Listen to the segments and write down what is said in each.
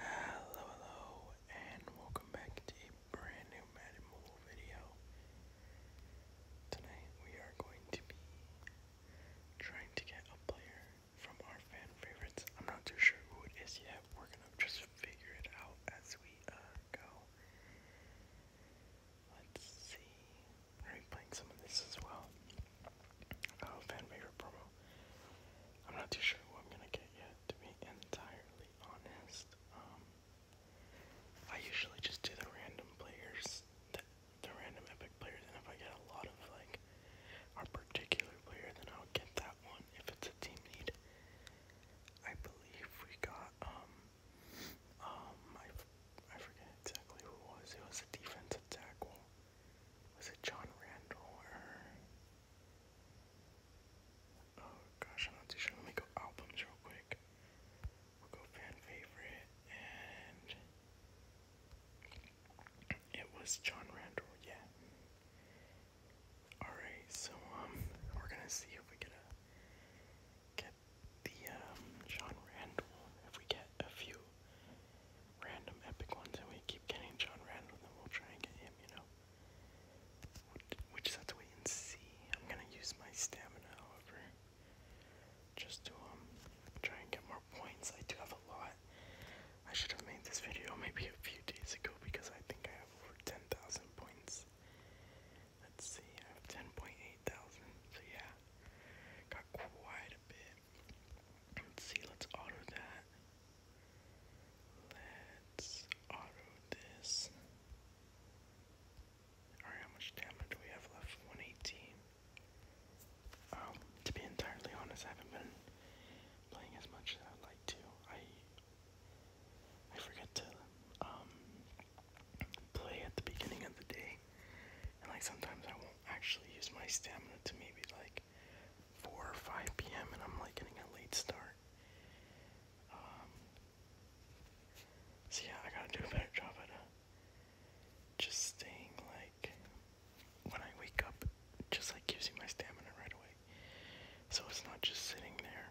Hello, hello, and welcome back to a brand new Madden Mobile video. Tonight we are going to be trying to get a player from our fan favorites. I'm not too sure who it is yet. We're gonna just figure it out as we uh, go. Let's see. Are we playing some of this as well? Oh, fan favorite promo. I'm not too sure who I'm gonna get yet, to be entirely honest. Um, I usually just do the random players, the, the random epic players, and if I get a lot of like a particular player, then I'll get that one if it's a team need. I believe we got um um I, I forget exactly who was. It was a defensive tackle was it John Randall or oh gosh, I'm not too sure. Let me go albums real quick. go fan favorite and it was John Randall, yeah. Alright, so um we're gonna see if we get a get the um John Randall if we get a few random epic ones, and we keep getting John Randall, then we'll try and get him, you know? Which is have to wait and see. I'm gonna use my stamina, however, just to, um, try and get more points. I do have a lot. I should have made this video maybe a few days ago because I think I have over 10,000 points. Let's see, I have 10.8 thousand, so yeah, got quite a bit. Let's see, let's auto that. Let's auto this. Alright, how much damage we have left? 118. Um, to be entirely honest, I haven't been playing as much as I'd like to. I I forget to um play at the beginning of the day. And like sometimes I won't actually use my stamina to maybe like 4 or 5 p.m. and I'm like getting a late start. Um, so yeah, I gotta do a better job at uh, just staying like when I wake up, just like gives my stamina right away. So it's not just sitting there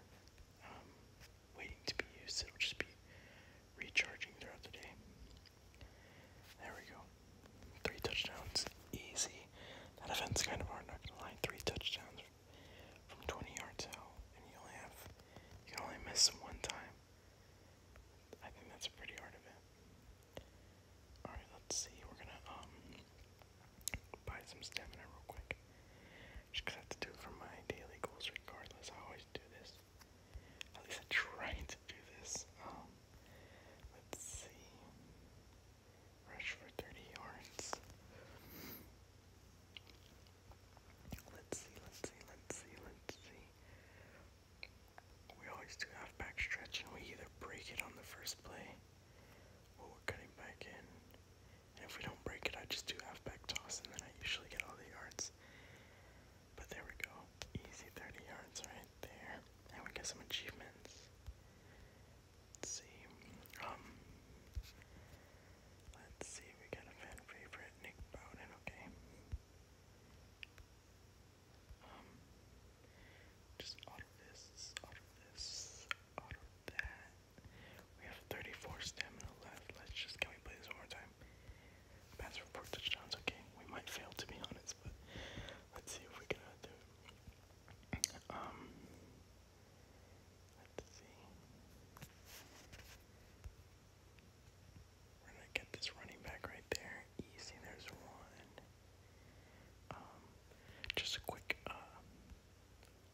um, waiting to be used, it'll just be recharging throughout the day. There we go. Three touchdowns, easy. That offense kind of hard, not gonna lie. Three touchdowns from 20 yards out, and you only have you can only miss one time. I think that's pretty hard event. All right, let's see. We're gonna um buy some stamina real quick. Just cause I to do for my daily goals, regardless. I always do this. At least I am trying to do this. Um, Let's see. Rush for 30 yards. Let's see, let's see, let's see, let's see. We always do half back stretch and we either break it on the first play or we're cutting back in. And if we don't break it, I just do half back toss and then I usually get all the yards. But there we go. Easy 30 yards right there. And we get some achievements. Let's see. Um let's see, we got a fan favorite, Nick Bowden, okay. Um just auto this, auto this, auto that. We have 34 stamina left. Let's just can we play this one more time? Pass for four touchdowns, okay. We might fail to be honest, but Let's see if we can add it. Um, let's see. We're gonna get this running back right there. Easy, there's one. Um, just a quick, uh,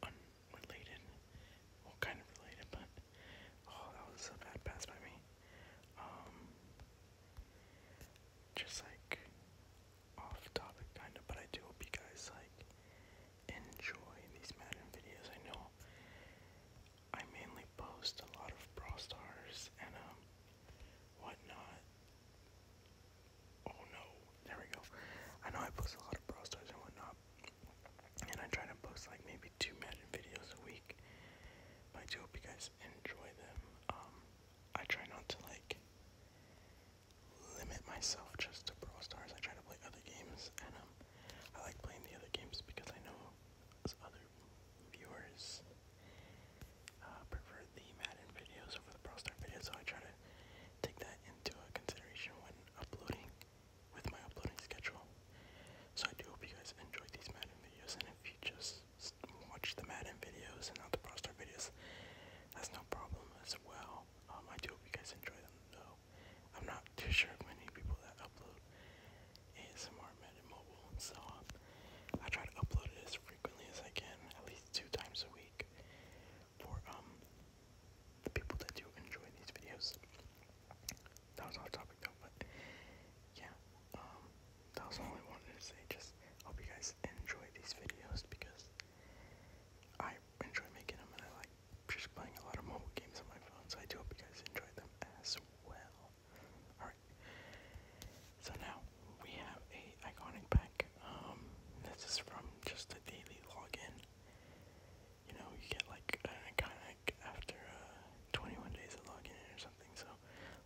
unrelated, well, kind of related, but oh, that was a bad pass by me. Um, just like off topic kind of, but I do hope you guys like enjoy these Madden videos. I know I mainly post a lot of Brawl Stars and um whatnot. Oh no, there we go. I know I post a lot of Brawl Stars and whatnot, and I try to post like maybe two Madden videos a week. I do hope you guys enjoy them. Um, I try not to like limit myself just to Brawl Stars. I try to play other games, and um, I like playing the other games because I know other viewers uh, prefer the Madden videos over the Brawl Star videos, so I try to take that into consideration when uploading with my uploading schedule. So I do hope you guys enjoy these Madden videos, and if you just watch the Madden videos and not the Pro Star videos. That's no problem as well. Um, I do hope you guys enjoy them though. I'm not too sure of many people that upload ASMR Madden Mobile, so um, I try to upload it as frequently as I can, at least two times a week, for um the people that do enjoy these videos. That was off topic though, but yeah, um, that was all I wanted to say. Just hope you guys enjoy these videos because I enjoy making them and I like just playing a lot of mobile games on my phone. So I do hope you guys enjoy them as well. Alright. So now we have a iconic pack. Um, this is from just a daily login. You know, you get like an iconic after uh, 21 days of logging in or something. So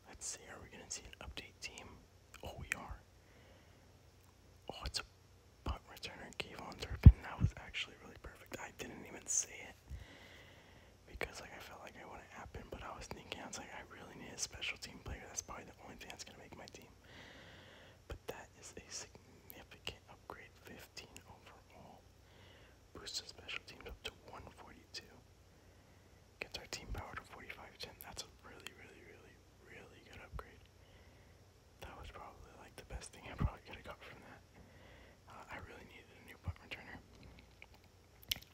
Let's see, are we gonna see an update team? Oh, we are. Oh, it's a punt returner, Kayvon Turpin. That was actually really perfect. I didn't even say it because like I felt like I wouldn't happen, but I was thinking I was like I really need a special team player. That's probably the only thing that's gonna make my team. But that is a significant upgrade, 15 overall. Boosted special teams to 142. Gets our team power to 4510. That's a really, really, really, really good upgrade. That was probably like the best thing I probably got from that. Uh, I really needed a new punt returner.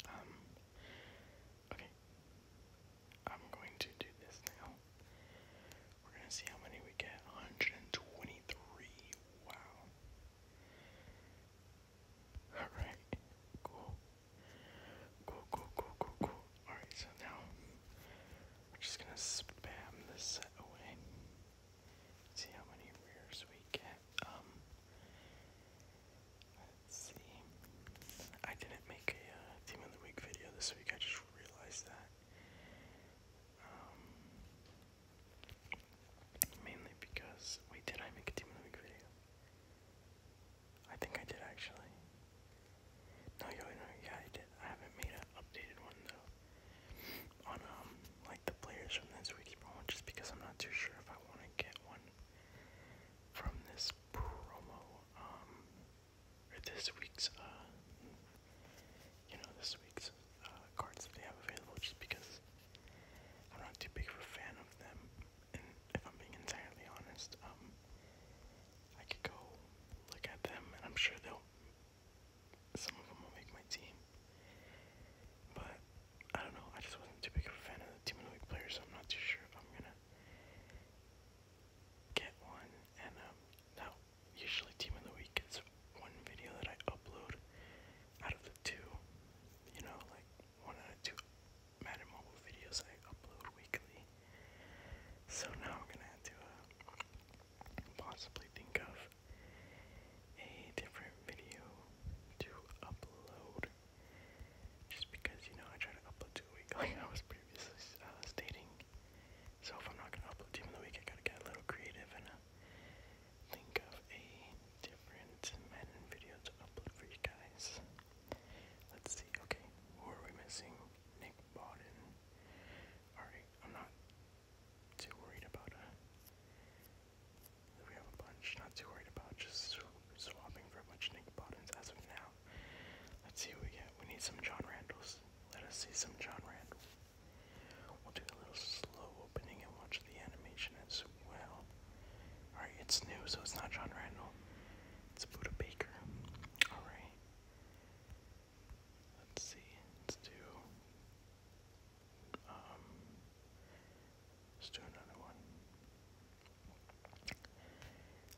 Um, okay. I'm going to do this now. We're going to see how many we get. 123. Wow. Alright, cool. Cool, cool, cool, cool, cool. Alright, so now we're just gonna spam this away. See how many rears we get. Um let's see. I didn't make a uh, team of the week video this week, I just realized that. Um, Mainly because, wait, did I make a Team of the Week video? I think I did actually. No, yo, no, yeah, I did. I haven't made an updated one though. On um, like the players from this week's promo, just because I'm not too sure if I want to get one from this promo, um, or this week's uh, you know, this week's uh, cards that they have available, just because I'm not too big of a fan of them, and if I'm being entirely honest, um, I could go look at them, and I'm sure they'll. Some of them will make my team, but I don't know. I just wasn't too big of a fan of the team of the week players, so I'm not too sure if I'm gonna get one. And um, now usually team of the week is one video that I upload out of the two, you know, like one out of two Madden Mobile videos I upload weekly. So now I'm gonna have to uh, possibly think of a different video to upload. Just because, you know, I try to upload two a week, like I was previously uh, stating. So if I'm not gonna upload two in the week, I gotta get a little creative and uh, think of a different Madden video to upload for you guys. Let's see, okay, who are we missing? Nick Bodden. Alright, I'm not too worried about uh we have a bunch, not too worried about just swapping for a bunch Nick Boddens as of now. Let's see what we get. We need some John Randalls. Let us see some John Randall. We'll do a little slow opening and we the animation as well. Alright, it's new, so it's not John Randall. It's Buda Baker. Alright. Let's see. Let's do. Um. Let's do another one.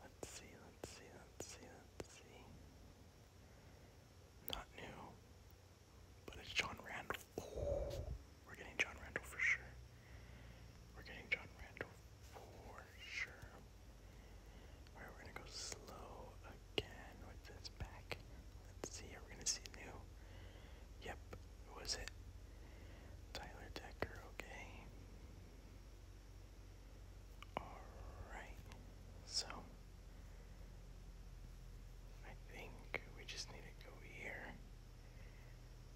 Let's see, let's see, let's see, let's see. Not new. But it's John Randall. we're getting John Randall for sure. We're getting John Randall for sure. Alright, we're gonna go slow again with this back. Let's see, are gonna see new? Yep, was it? Tyler Decker, okay. Alright, so I think we just need to go here.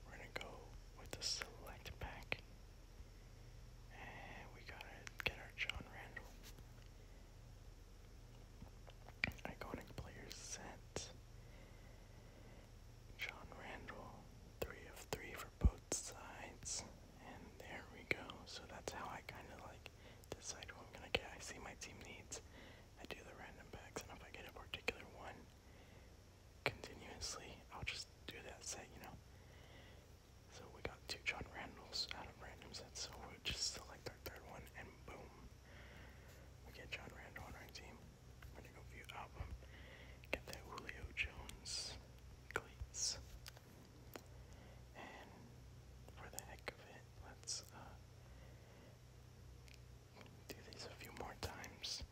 We're gonna go with the select pack. And we gotta get our John Randall. Iconic player set. John Randall, three of three for both sides. And there we go. So that's how I kind of like decide who I'm gonna get. I see my team needs. I do the random packs, and if I get a particular one continuously, I'll just do that set, you know? So we got two John Randalls out of random sets, so we'll just select our third one, and boom. We get John Randall on our team. We're gonna go view album, get that Julio Jones cleats. And for the heck of it, let's uh, do these a few more times.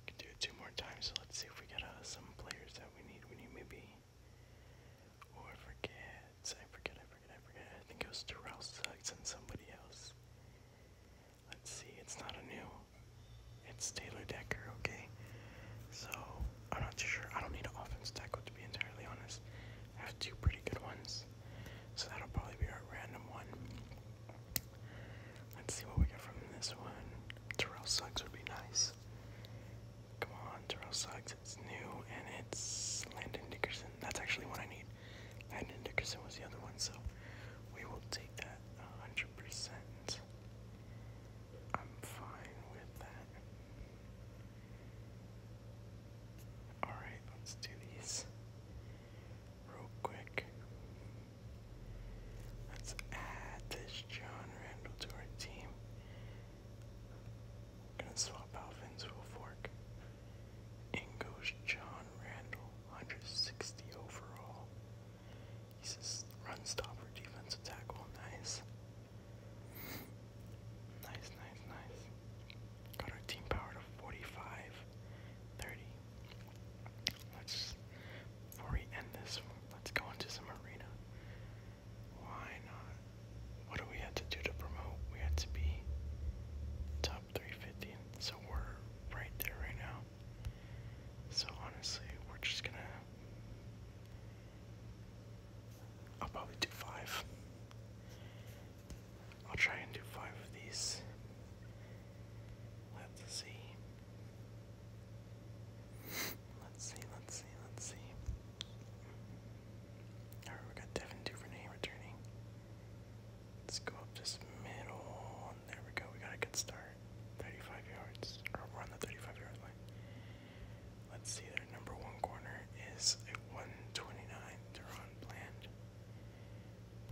We can do it two more times, so let's see if we get uh, some players that we need. We need maybe. Oh, I forget. I forget, I forget, I forget. I think it was Terrell Suggs and somebody else. Let's see, it's not a new. It's Taylor Decker, okay? So, I'm not too sure. I don't need an offense tackle, to be entirely honest. I have two pretty good ones. So that'll probably be our random one. Let's see what we get from this one. Terrell Suggs would be nice. Come on, Terrell Suggs. It's new and it's Landon Dickerson. That's actually what I need. Landon Dickerson was the other one, so we will take that 100%. I'm fine with that. Alright, let's do these real quick. Let's add this John Randall to our team. gonna swap out Vinsville Fork. In goes John Randall, 160 overall. He's a run stopper, defensive tackle, nice. nice, nice, nice. Got our team power to 45, Let's, before we end this, let's go into some arena. Why not? What do we have to do to promote? We had to be top 350, so we're right there right now. So honestly, we're just gonna. I'll probably do five. I'll try and do five of these. Let's see. Let's see, let's see, let's see. Alright, we got Devin Duvernay returning. Let's go up this middle. there we go, we got a good start. 35 yards. Or we're on the 35 yard line. Let's see, their number one corner is a 129 Duron Bland.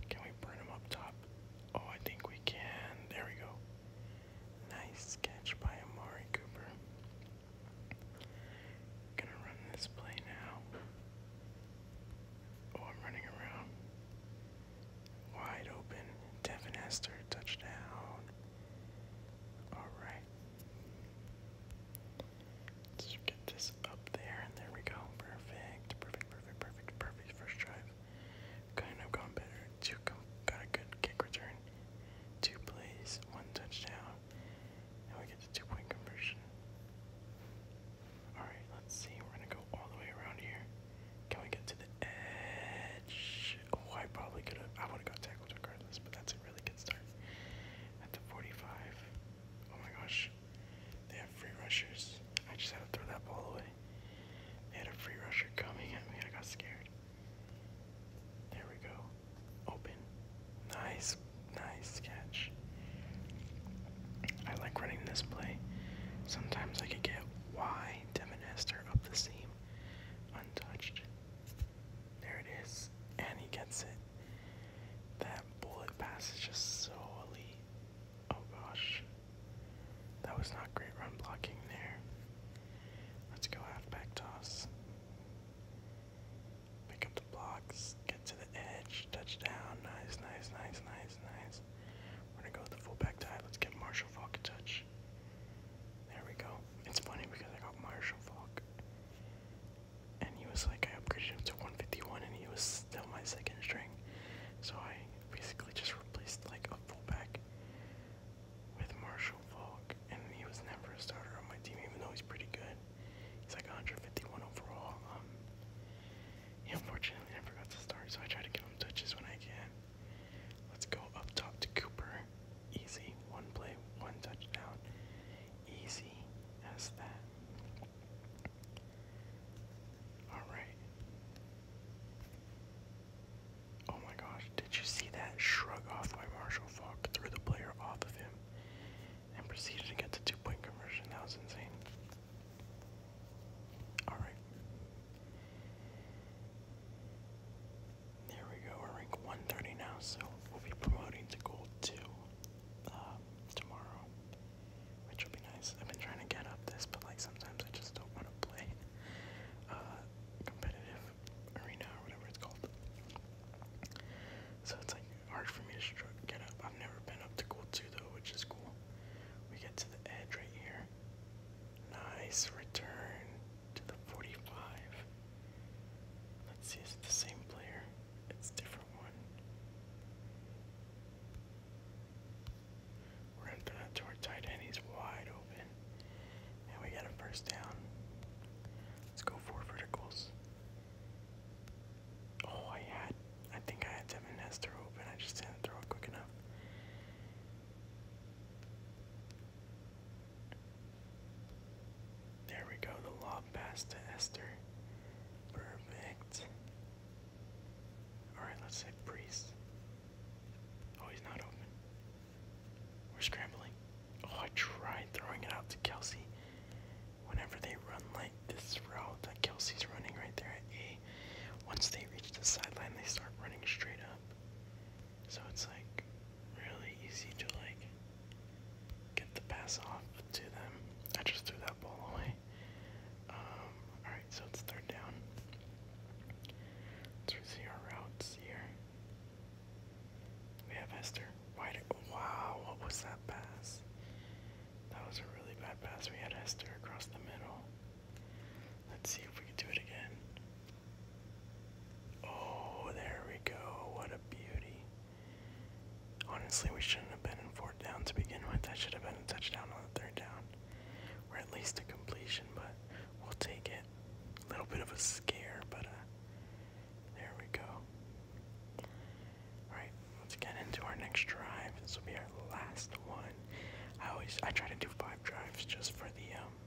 Can we burn him up top? Oh, I think we can. There we go. Nice catch by Amari Cooper. Gonna run this play now. Oh, I'm running around. Wide open. Devin Hester, touchdown. Alright. Let's get this up there, and there we go. Perfect, perfect, perfect, perfect, perfect. First drive. Kind of gone better. Two got a good kick return. Two plays, one touchdown. Now we get the two point conversion. Alright, let's see. We're gonna go all the way around here. Can we get to the edge? Oh, I probably could have. I would have got tackled regardless, but that's a really good start at 45. Oh my gosh, they have free rushers. I just had to throw that ball away. They had a free rusher coming at me. I got scared. There we go. Open. Nice, nice catch. I like running this play. Sometimes I could get Y Devin Hester up the seam untouched. There it is. And he gets it. That bullet pass is just so elite. Oh gosh. That was not great run blocking there. Let's go halfback toss. Pick up the blocks, get to the edge, touchdown. Nice, nice, nice, nice, nice. We're gonna go with the fullback tie. Let's get Marshall Falk a touch. There we go. It's funny because I got Marshall Falk and he was like, I upgraded him to 151, and he was still my second string. So I basically just replaced like a fullback with Marshall Falk, and he was never a starter on my team, even though he's pretty good. He's like 151 overall. Um, he unfortunately never got to start, so I try to give him touches when I can. Let's go up top to Cooper. Easy, one play, one touchdown easy as that. Alright. Oh my gosh, did you see that shrug off by Marshall Falk? Threw the player off of him and proceeded to get the two point conversion. That was insane. Alright. There we go. We're rank 130 now, so we'll be promoting to gold two um, tomorrow, which will be nice. I've been trying to get up this, but like sometimes I just don't want to play uh, competitive arena or whatever it's called. So it's like hard for me to get up. I've never been up to gold two though, which is cool. We get to the edge right here. Nice return to the 45. Let's see, is it the same player? It's different one. We're going to throw that to our tight end. He's wide open. And we got a first down. Let's go four verticals. Oh, I had, I think I had Devin Nestor open. I just didn't throw it quick enough. There we go, the lob pass to Esther. Perfect. Alright, let's say Priest. Oh, he's not open. We're scrambling. Oh, I tried throwing it out to Kelsey. Whenever they run like this route that Kelsey's running right there at A, once they reach the sideline, they start running straight up. So it's like, really easy to like get the pass off to them. I just threw that ball away. Um, alright, so it's third down. Let's see our routes here. We have Esther. Wide wow, what was that pass? That was a really bad pass. We had Esther across the middle. Let's see if we can do it again. Oh, there we go. What a beauty. Honestly, we shouldn't have been in fourth down to begin with. I should have been in touchdown on the third down, or at least a completion, but we'll take it. A little bit of a scare, but uh, there we go. Alright, let's get into our next drive. This will be our last one. I always I try to do five drives just for the um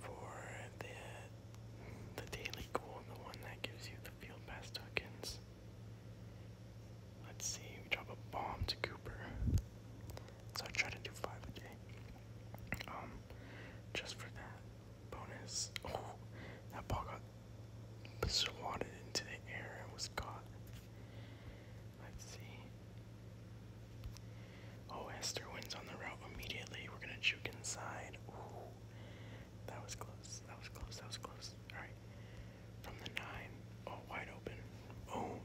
for the the daily goal, the one that gives you the field pass tokens. Let's see, we drop a bomb to Cooper. So I try to do five a day. Um, just for that bonus. Oh, that ball got swatted into the air and was caught. Let's see. Oh, Esther wins on the route immediately. We're gonna juke inside. Ooh, that was close. That was close. That was close. All right, from the nine. Oh, wide open. Boom.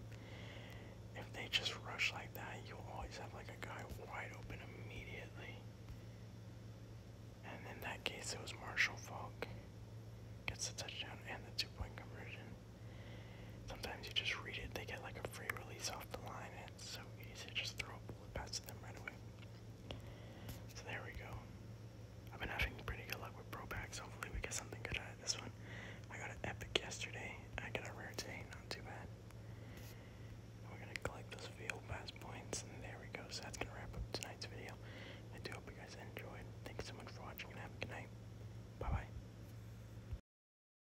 If they just rush like that, you'll always have like a guy wide open immediately. And in that case, it was Marshall Falk gets the touchdown and the two-point conversion sometimes you just read it, they get like a free release off the line, and it's so easy to just throw a bullet pass to them right away. So there we go. I've been having pretty good luck with pro packs. Hopefully we get something good out of this one. I got an epic yesterday. I got a rare today. Not too bad. we're gonna collect those field pass points, and there we go. So that's gonna wrap up tonight's video. I do hope you guys enjoyed. Thanks so much for watching, and have a good night. Bye bye.